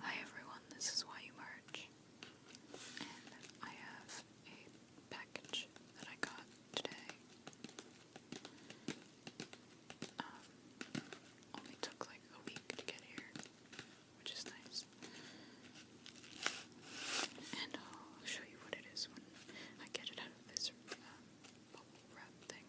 Hi everyone, this is Why You March, and I have a package that I got today. Um, only took like a week to get here, which is nice. And I'll show you what it is when I get it out of this uh, bubble wrap thing.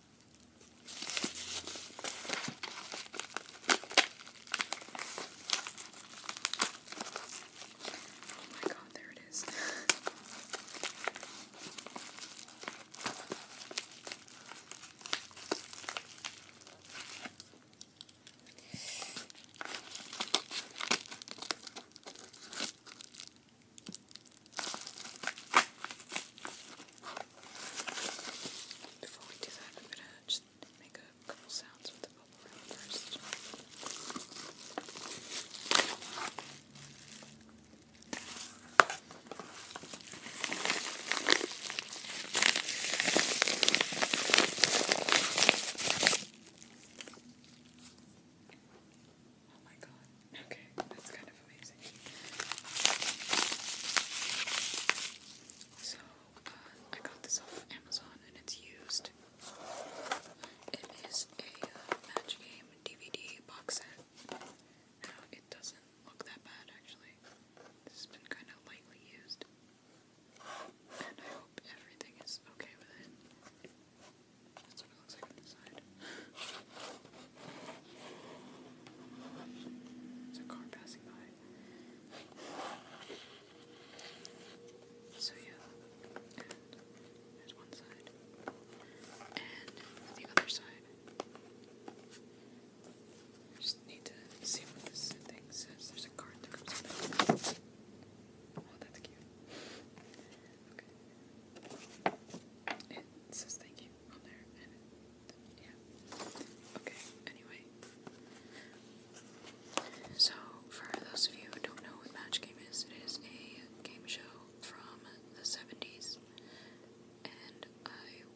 Oh my god, there it is. Before we do that, I'm going to just make a couple sounds with the bubble first. Oh my god. Okay, that's good. So, uh, I got this off Amazon and it's used. It is a uh, Match Game DVD box set. it doesn't look that bad actually. This has been kind of lightly used. And I hope everything is okay with it. That's what it looks like on the side. There's a car passing by. So yeah, there's one side, and the other side. just need to see what this thing says. There's a card that comes with Oh, that's cute. Okay. It says thank you on there, yeah. Okay, anyway. So, for those of you who don't know what Match Game is, it is a game show from the 70s, and I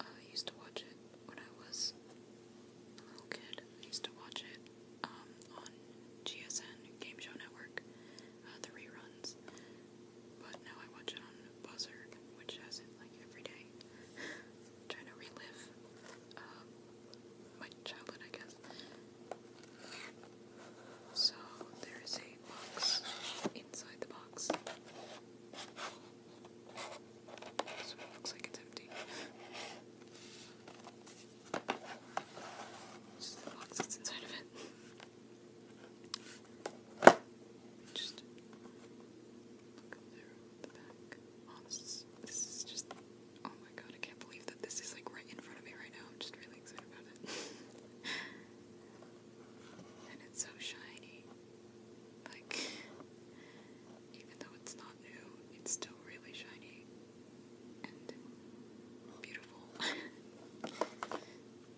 uh, used to watch it when I was a little kid. used to watch it um, on GSN Game Show Network, uh, the reruns. But now I watch it on Buzzard, which has it like every trying to relive um, my childhood, I guess. So there is a box inside the box. looks like it's empty. the box that's inside of it. Just look at the back. this is just, oh my god, I can't believe that this is like right in front of me right now. I'm just really excited about it. and it's so shiny. Like, even though it's not new, it's still really shiny and beautiful.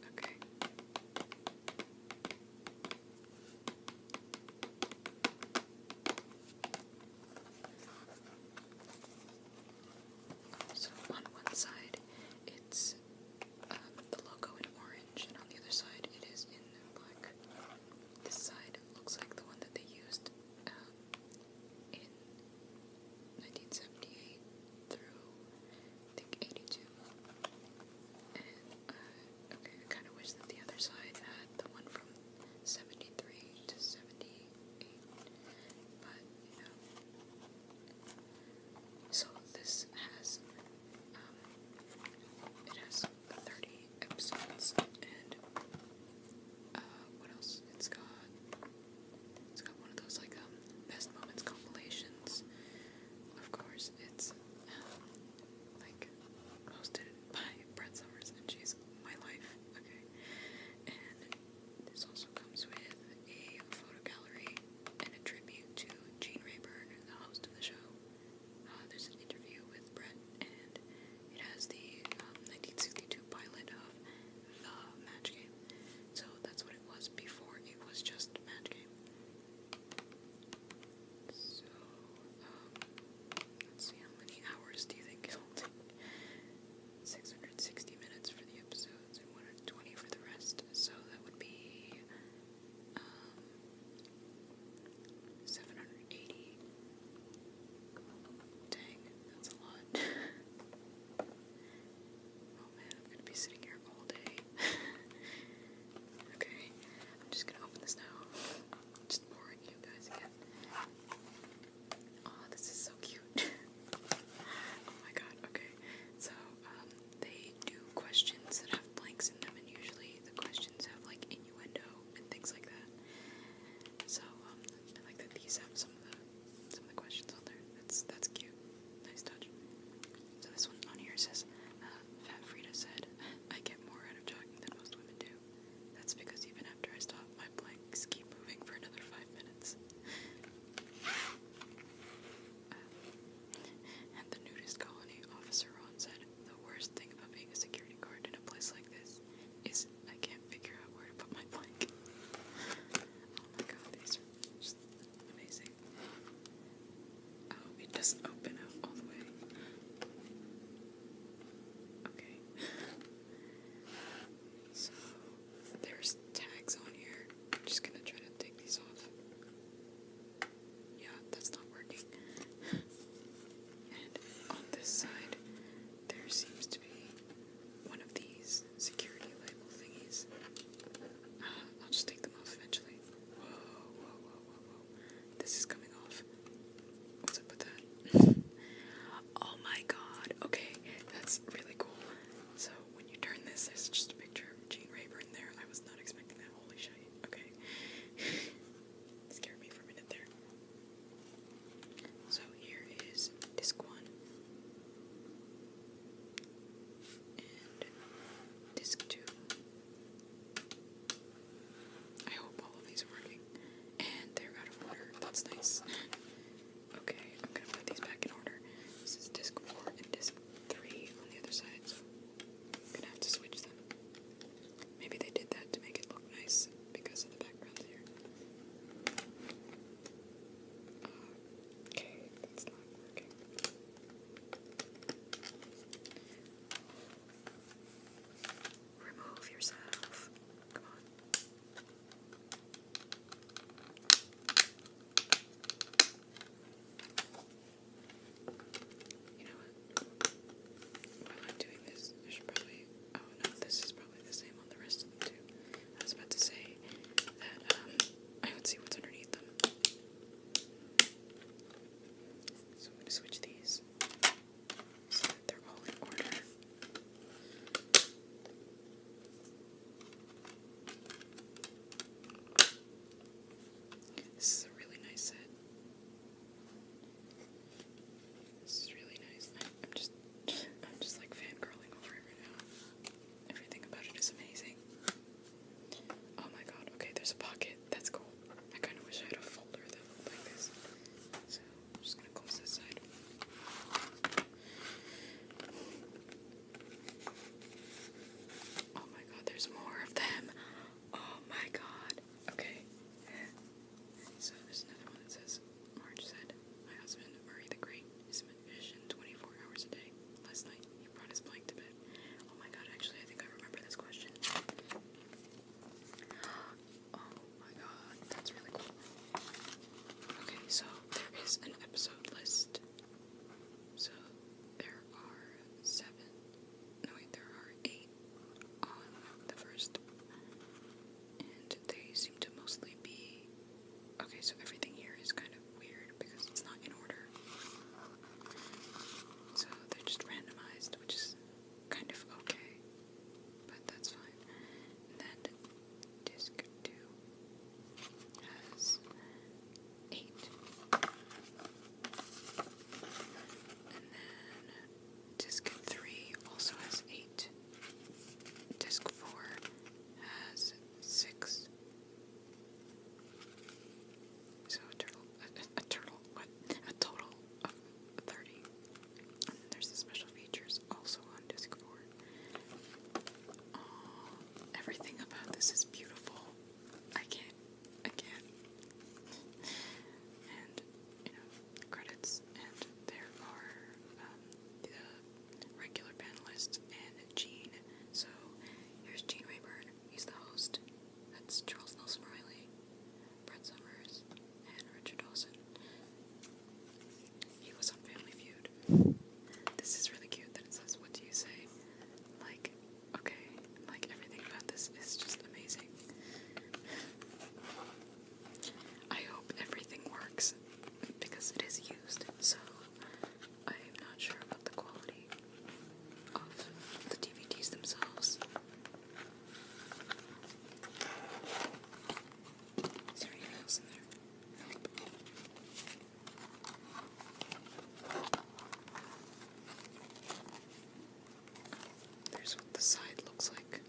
okay. So on one side, it's um, the logo in orange, and on the other side, it is in black. This side looks like the one that they used um, in 1978 through I think 82, okay, I kind of wish that the other side had the one from 73 to 78, but you So this has, um, it has 30 episodes, and, uh, what else? It's got, it's got one of those, like, um, best moments compilations. Of course, it's is like hosted by Brett Summers, and she's my life. Okay, and this also comes with a photo gallery and a tribute to Gene Rayburn, the host of the show. Uh, there's an interview with Brett, and it has the 1962 um, pilot of the Match Game. So that's what it was before. It was just Match Game. So, um, let's see how many hours do you think it'll take? 660 minutes for the episodes and 120 for the rest. So that would be um, 780. Dang, that's a lot. oh man, I'm gonna be sitting here all day. okay, I'm just gonna open this now. Just boring you guys again. Oh, this is so cute. oh my god, okay. So, um, they do questions that have blanks in them, and usually the questions have like innuendo and things like that. So, um, like that these have some of the some of the questions on there. That's that's cute. Nice touch. So this one on here says, uh, Fat Frida said, I get more out of jogging than most women do. That's because even after I stop, my blanks keep moving for another five minutes. Uh, and the nudist colony, Officer Ron said, the worst thing about being a security guard in a place like this is I can't figure out where to put my blank. oh my god, these are just amazing. I oh, hope it doesn't open up all the way. Okay. So there's tags on here. I'm just gonna try to take these off. Yeah, that's not working. And on this side, there seems to be one of these security label thingies. Uh, I'll just take them off eventually. Whoa, whoa, whoa, this is coming off. What's up with that? oh my god. Okay, that's really cool. So when you turn this, there's just a picture Gene Rayburn there. I was not expecting that. Holy shit. Okay. Scared me for a minute there. So here is disc one. And disc two. I hope all of these are working. And they're out of order. That's nice. okay, I'm gonna put these back in order. This is disc 4 and disc 3 on the other side, I'm gonna have to switch them. Maybe they did that to make it look nice because of the background here. Uh, okay, that's not working. Remove yourself. Come on. You know what? While I'm doing this, I should probably. Oh no, this is probably the same on the rest of them too. I was about to say that um, I would see what's underneath them. So I'm going to switch these so that they're all in order. This is a really nice set. This is really nice. I, am just, I'm just like fangirling over it right now. Everything about it is amazing. Oh my god, okay, there's a pocket. That's cool. I kind of wish I had a folder that looked like this. So, I'm just gonna close this side. Oh my god, there's more of them. Oh my god. Okay. So, there's another one that says Marge said, My husband, Murray the Great, is a magician 24 hours a day. Last night, Oh my god, actually, I think I remember this question. Oh my god, that's really cool. Okay, so there is an episode list. So there are seven. No, wait, there are eight on the first. And they seem to mostly be. Okay, so everything here is kind of weird because it's not in order. So they're just randomized, which is kind of okay, but that's fine. then disc 2 has 8. And then disc 3 also has 8. Disc 4 has 6. So a turtle, a, turtle, what? A total of 30. there's the special features also on Discord. Oh, everything about this is beautiful. I can't, I can't. And, you know, credits, and there are um, the regular panelists and Gene. So here's Gene Rayburn. He's the host. That's Charles Nelson Riley, Brett Summers, and Richard Dawson. He was on Family Feud. This is really cute that it says, What do you say? Like, okay, like everything about this is just amazing. I hope everything works because it is used, so I'm not sure about the quality of the DVDs themselves. Is there in there? There's what the side looks like.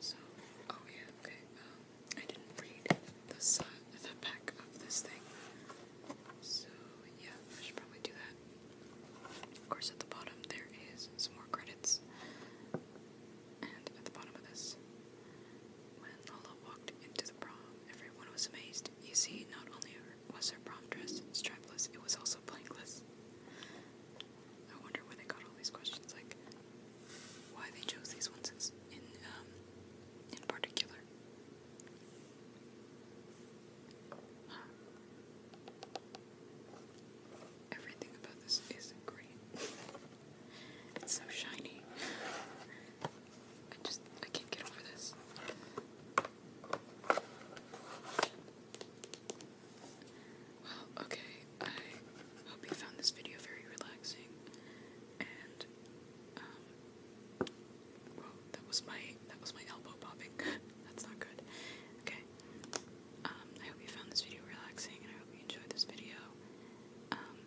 So, oh yeah, okay. Um, I didn't read the the back of this thing. So yeah, I should probably do that. Of course, at the bottom there is some more credits, and at the bottom of this, when Lola walked into the prom, everyone was amazed. You see, not only was her prom dress strapless, it was also blankless. I wonder where they got all these questions like, why they chose these ones in um, in particular. Everything about this is great. it's so shiny. I just I can't get over this. Well, okay. I hope you found this video very relaxing, and um, that was my that was my elbow popping. That's not good. Okay. Um, I hope you found this video relaxing, and I hope you enjoyed this video. Um,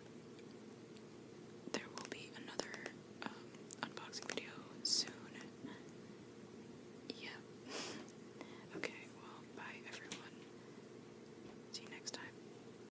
there will be another um, unboxing video soon. Yeah. okay. Well, bye everyone. See you next time.